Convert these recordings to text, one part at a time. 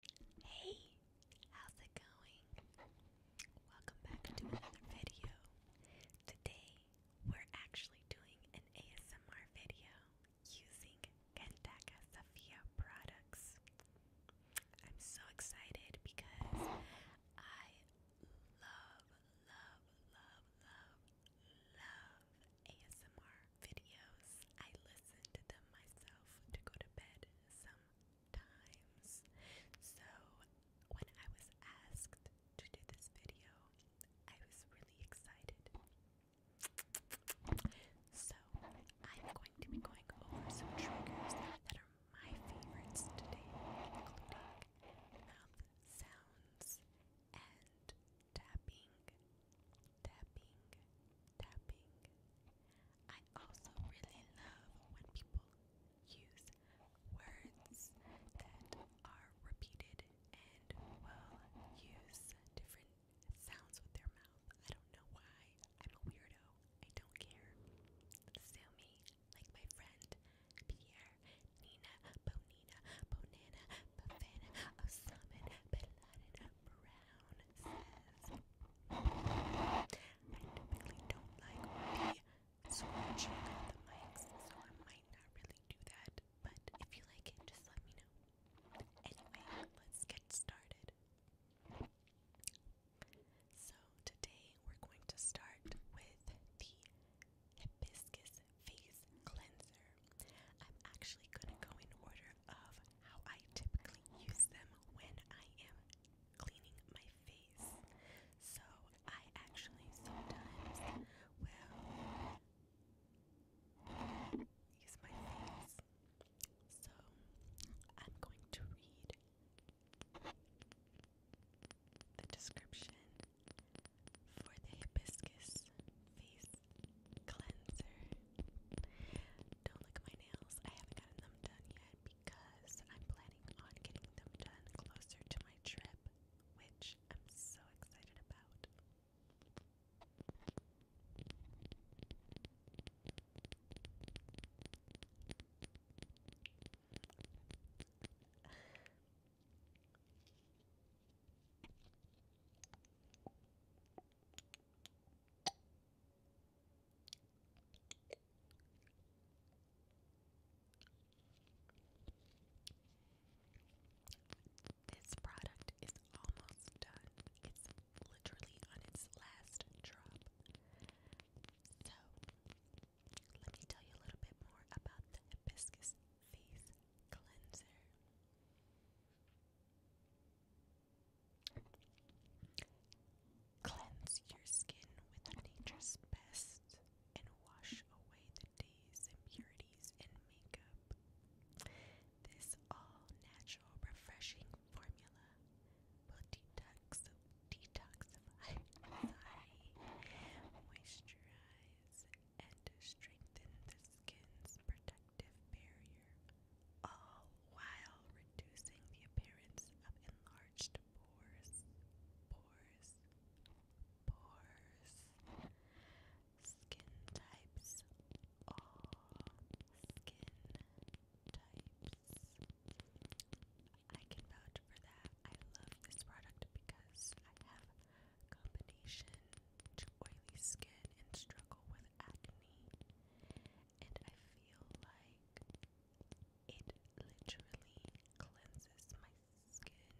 Hey, how's it going? Welcome back to another video. Today, we're actually doing an ASMR video using Kentaka Sofia products. I'm so excited because I love, love, love, love, love ASMR videos. I listen to them myself to go to bed sometimes. So when I was asked to do this video, I was really excited. So I'm going to be going over some triggers that are my favorites today, including mouth sounds and tapping tapping, tapping. I also really love when people use words that are repeated and will use different sounds with their mouth. I don't know why. I'm a weirdo. I don't care. Sue like my friend Pierre, Nina, Bonina, Bonana, Bavana, Osaman, Beladina, I typically don't like really the mics, so I might not really do that, but if you like it, just let me know. Anyway, let's get started. So, today we're going to start with the Hibiscus Face Cleanser I'm actually gonna go in order of how I typically use them when I am cleaning my face. So I actually sometimes will use my face. So I'm going to read the description for the hibiscus face cleanser. Don't look at my nails. I haven't gotten them done yet because I'm planning on getting them done closer to my trip, which I'm so excited about. This product is almost done. It's literally on its last drop. So, let me tell you a little bit more about the hibiscus face cleanser. Cleanse your skin with nature's best and wash away the day's impurities and makeup. This all natural refreshing formula will detox, detoxify, moisturize, and strengthen the skin's protective barrier, all while reducing the appearance of enlarged pores. Pores. Pores. Skin types. All skin types. I can vouch for that. I love this product because I have combination oily skin and struggle with acne. And I feel like it literally cleanses my skin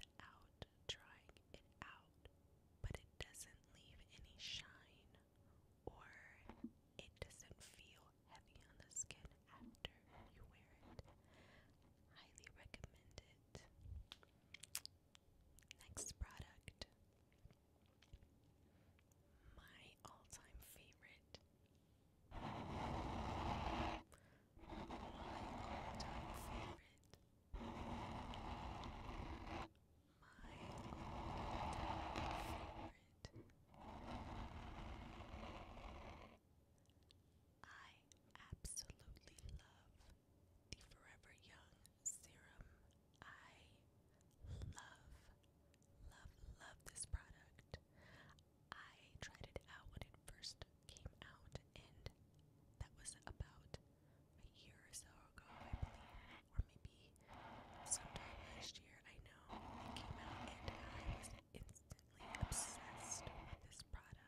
without drying it out, but it doesn't leave any shine or it doesn't feel heavy on the skin after you wear it. Highly recommend it. Next product. My all time favorite. My all time favorite. My all time favorite. I absolutely love the Forever Young Serum. I love, love, love this product. I tried it out when it first came out, and that was about a year or so ago, I believe, or maybe sometime last year. I know it came out, and I was instantly obsessed with this product.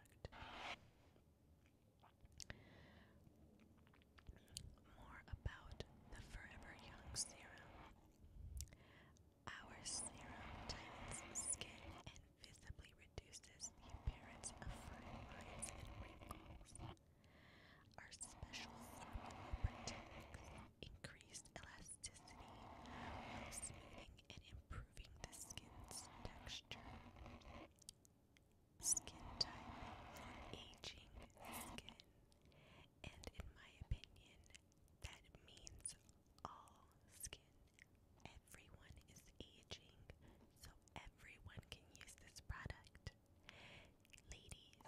More about the Forever Young Serum. Our serum tightens skin and visibly reduces the appearance of fine lines and wrinkles. Our special formula protects increased elasticity smoothing and improving the skin's texture. Skin type aging skin. And in my opinion, that means all skin. Everyone is aging, so everyone can use this product. Ladies,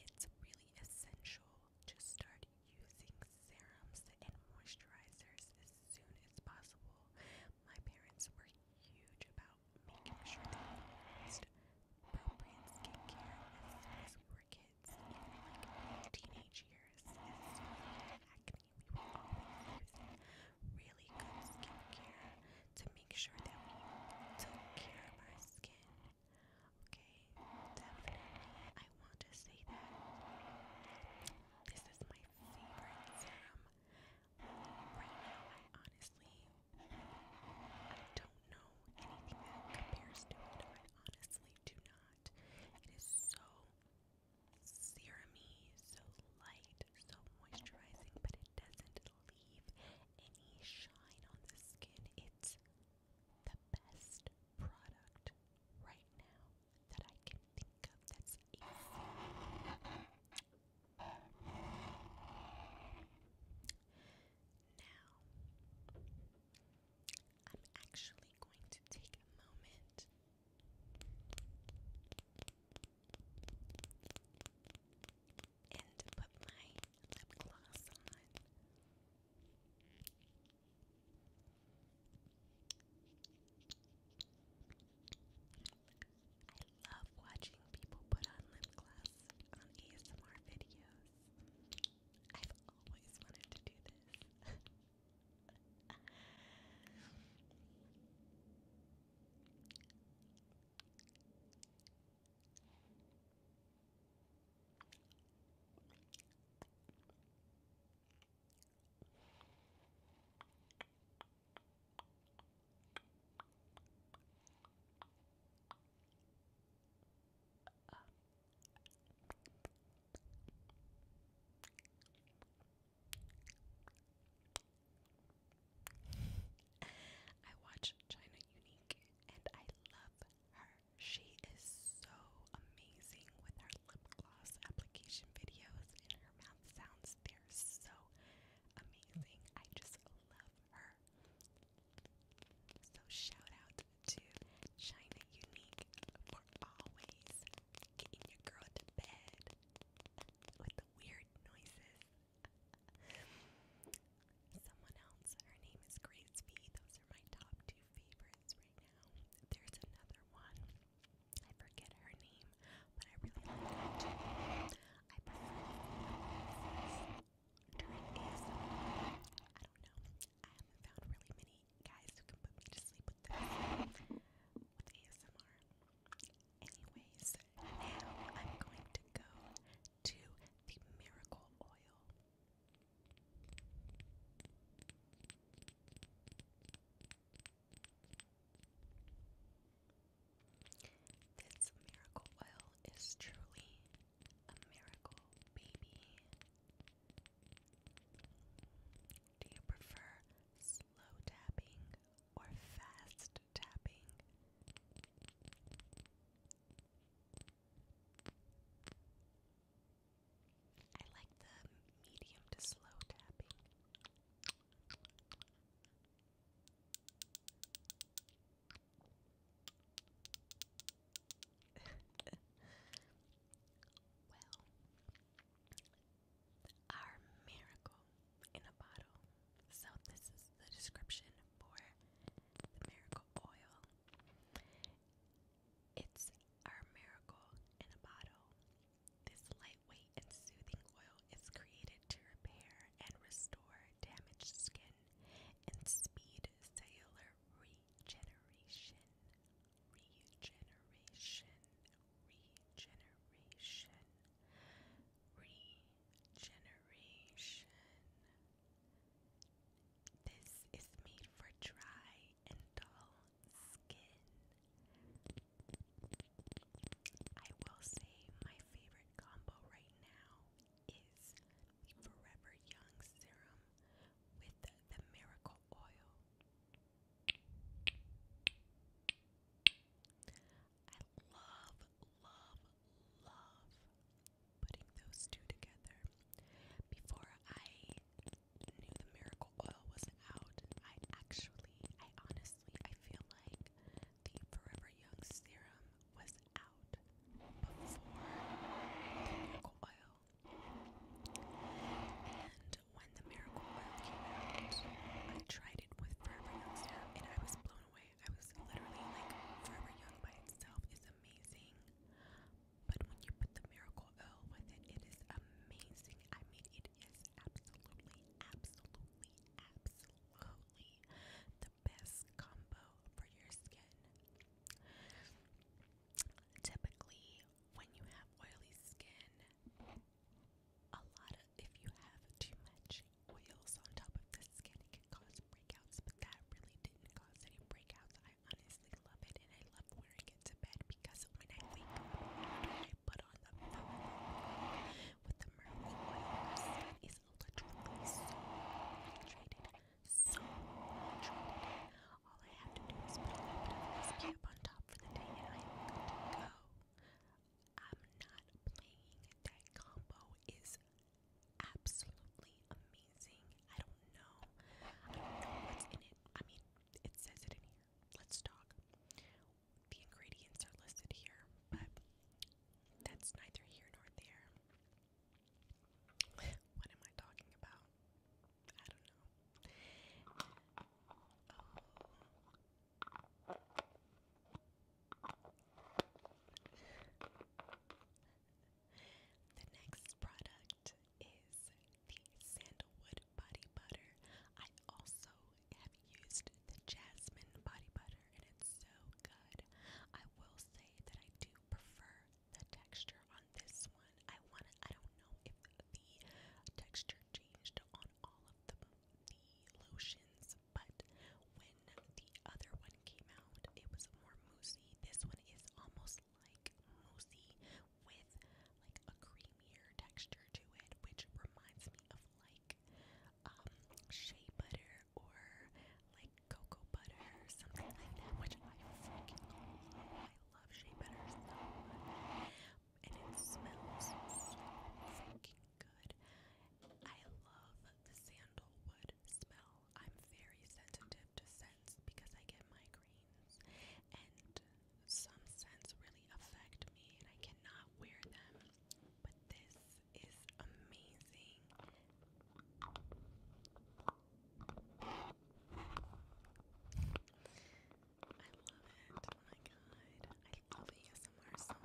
it's really essential to start using serums and moisturizers as soon as possible my parents were huge about making sure that we used appropriate skincare as soon as we were kids, even like teenage years. As soon as we had acne, we were always using really good skincare to make sure that we took care of our skin. Okay, definitely, I want to say that this is my favorite serum. Right now, I honestly, I don't know anything that compares to it. I honestly do not. It is so serumy, so light, so moisturizing, but it doesn't leave any shine on the skin. It's the best product right now that I can think of that's Now, I'm actually going to take a moment and put my lip gloss on. I love watching people put on lip gloss on ASMR videos. I've always wanted to do this. Uh. I watch China Unique and I love her. She is so amazing with her lip gloss application videos and her mouth sounds. They're so amazing. I just love her. So shout out to China Unique for always getting your girl to bed with the weird noises. Someone else, her name is Grace Those are my top two favorites right now. There's another one. I forget her name, but I really like her I prefer during I don't know. I haven't found really many guys who can put me to sleep with this with ASMR. Anyways, now I'm going to go to the miracle oil. This miracle oil is truly a miracle, baby. Do you prefer slow tapping or fast tapping? I like the medium to slow tapping. well, our miracle in a bottle. So, this is the description for the miracle oil. It's our miracle in a bottle. This lightweight and soothing oil is created to repair and restore damaged skin and speed cellular regeneration. Regeneration. Regeneration. Regeneration. This is made for dry, and dull skin. I will say my favorite combo right now is the Forever Young Serum with the, Miracle Oil. I love, love, love putting those two together. Before I knew the miracle oil was out, I actually, I honestly, I feel like the Forever Young serum was out before the miracle oil. And when the miracle oil came out, I tried it with Forever Young serum and I was blown away. I was literally like, Forever Young by itself is amazing, but when you put the miracle oil with it, it is amazing. I mean, it is absolutely, absolutely, absolutely the best combo for your skin. Typically, when you have oily skin, a lot of if you have too much oils on top of the skin, it can cause breakouts. But that really didn't cause any breakouts. I honestly love it and I love wearing it to bed because when I wake up I put on the oil with the miracle oil literally so hydrated. So hydrated. All I have to do is put this cap on top for the day and I am good to go. I'm not playing that combo is absolutely amazing. I don't know. I don't know what's in it. I mean, it says it in here. Let's talk. The ingredients are listed here, but that's neither here nor there. what am I talking about? I don't know. The next product is the sandalwood body butter. I also have used the jasmine body butter and it's so good. I will say that I do prefer the texture on this one. I want to I don't know if the texture changed on all of the lotions, but when the other one came out, it was more mousse this one is almost like moussey with like a creamier texture to it, which reminds me of like um, shea butter or like cocoa butter or something like that, which I freaking love. I love shea butter so much. And it smells so freaking good. I love the sandalwood smell. I'm very sensitive to scents because I get migraines, and some scents really affect me, and I cannot wear them. But this is amazing. I love it. Oh my god. I love ASMR so much. I hope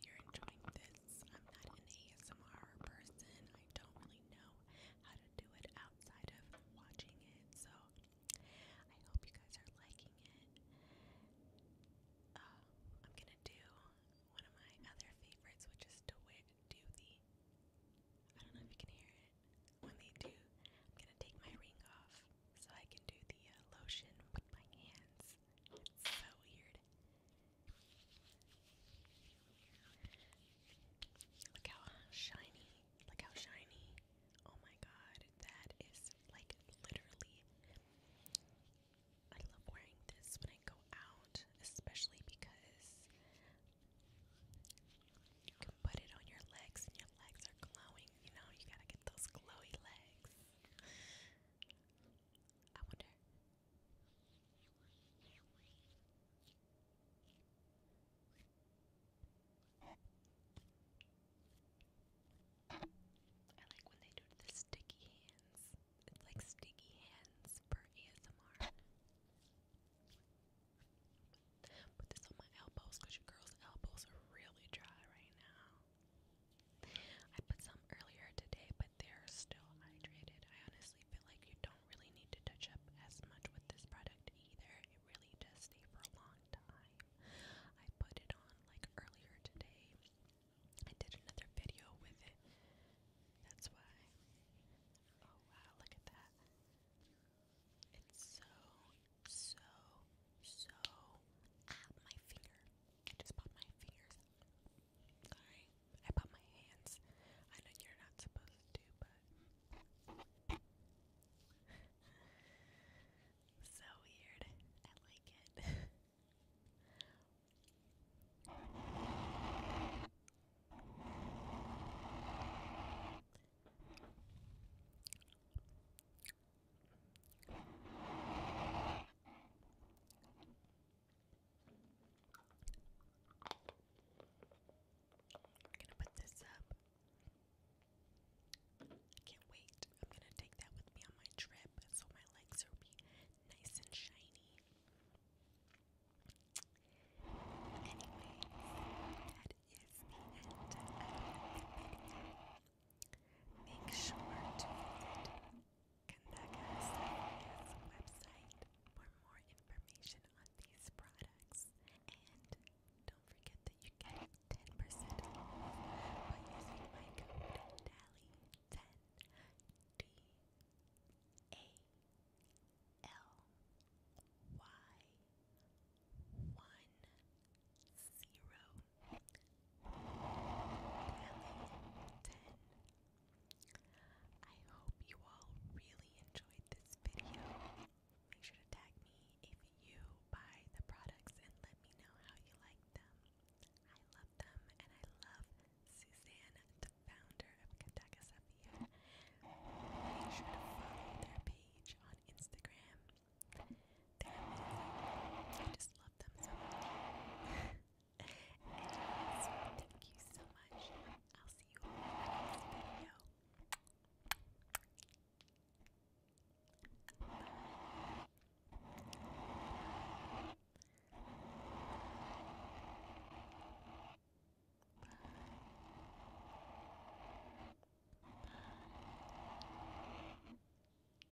you're enjoying this I'm not an ASMR person. I don't really know how to do it outside of watching it. So I hope you guys are liking it. Uh, I'm gonna do one of my other favorites, which is to do the. I don't know if you can hear it. When they do, I'm gonna take my ring off so I can do the uh, lotion with my hands. It's so weird. Look how shiny. Look how shiny. Oh my god, that is like literally. I love wearing this when I go out, especially because you can put it on your legs and your legs are glowing. You know, you gotta get those glowy legs. I wonder. I like when they do the sticky hands. It's like sticky hands for ASMR. Put this on my elbows because your girl's elbows are really dry right now. I put some earlier today, but they're still hydrated. I honestly feel like you don't really need to touch up as much with this product either. It really does stay for a long time. I put it on like earlier today. I did another video with it. That's why. Oh wow, look at that. It's so, so, so. Ah, my finger. I just pop my fingers. Sorry, I pop my hands. I know you're not supposed to, but so weird. I like it. I'm gonna put this up. can't wait. I'm gonna take that with me on my trip so my legs will be nice and shiny. Make sure to Kandagas Media's website for more information on these products. And don't forget that you get 10% off by using my code DALI10 D A L Y 1 0 ten. I hope you all really enjoyed this video. Make sure to tag me if you buy the products and let me know how you like them. I love them and I love Suzanne, the founder of Kataka Safia. Make sure to follow their page on Instagram. I just love them so much. Anyways, thank you so much. I'll see you in the next video. Bye. Bye.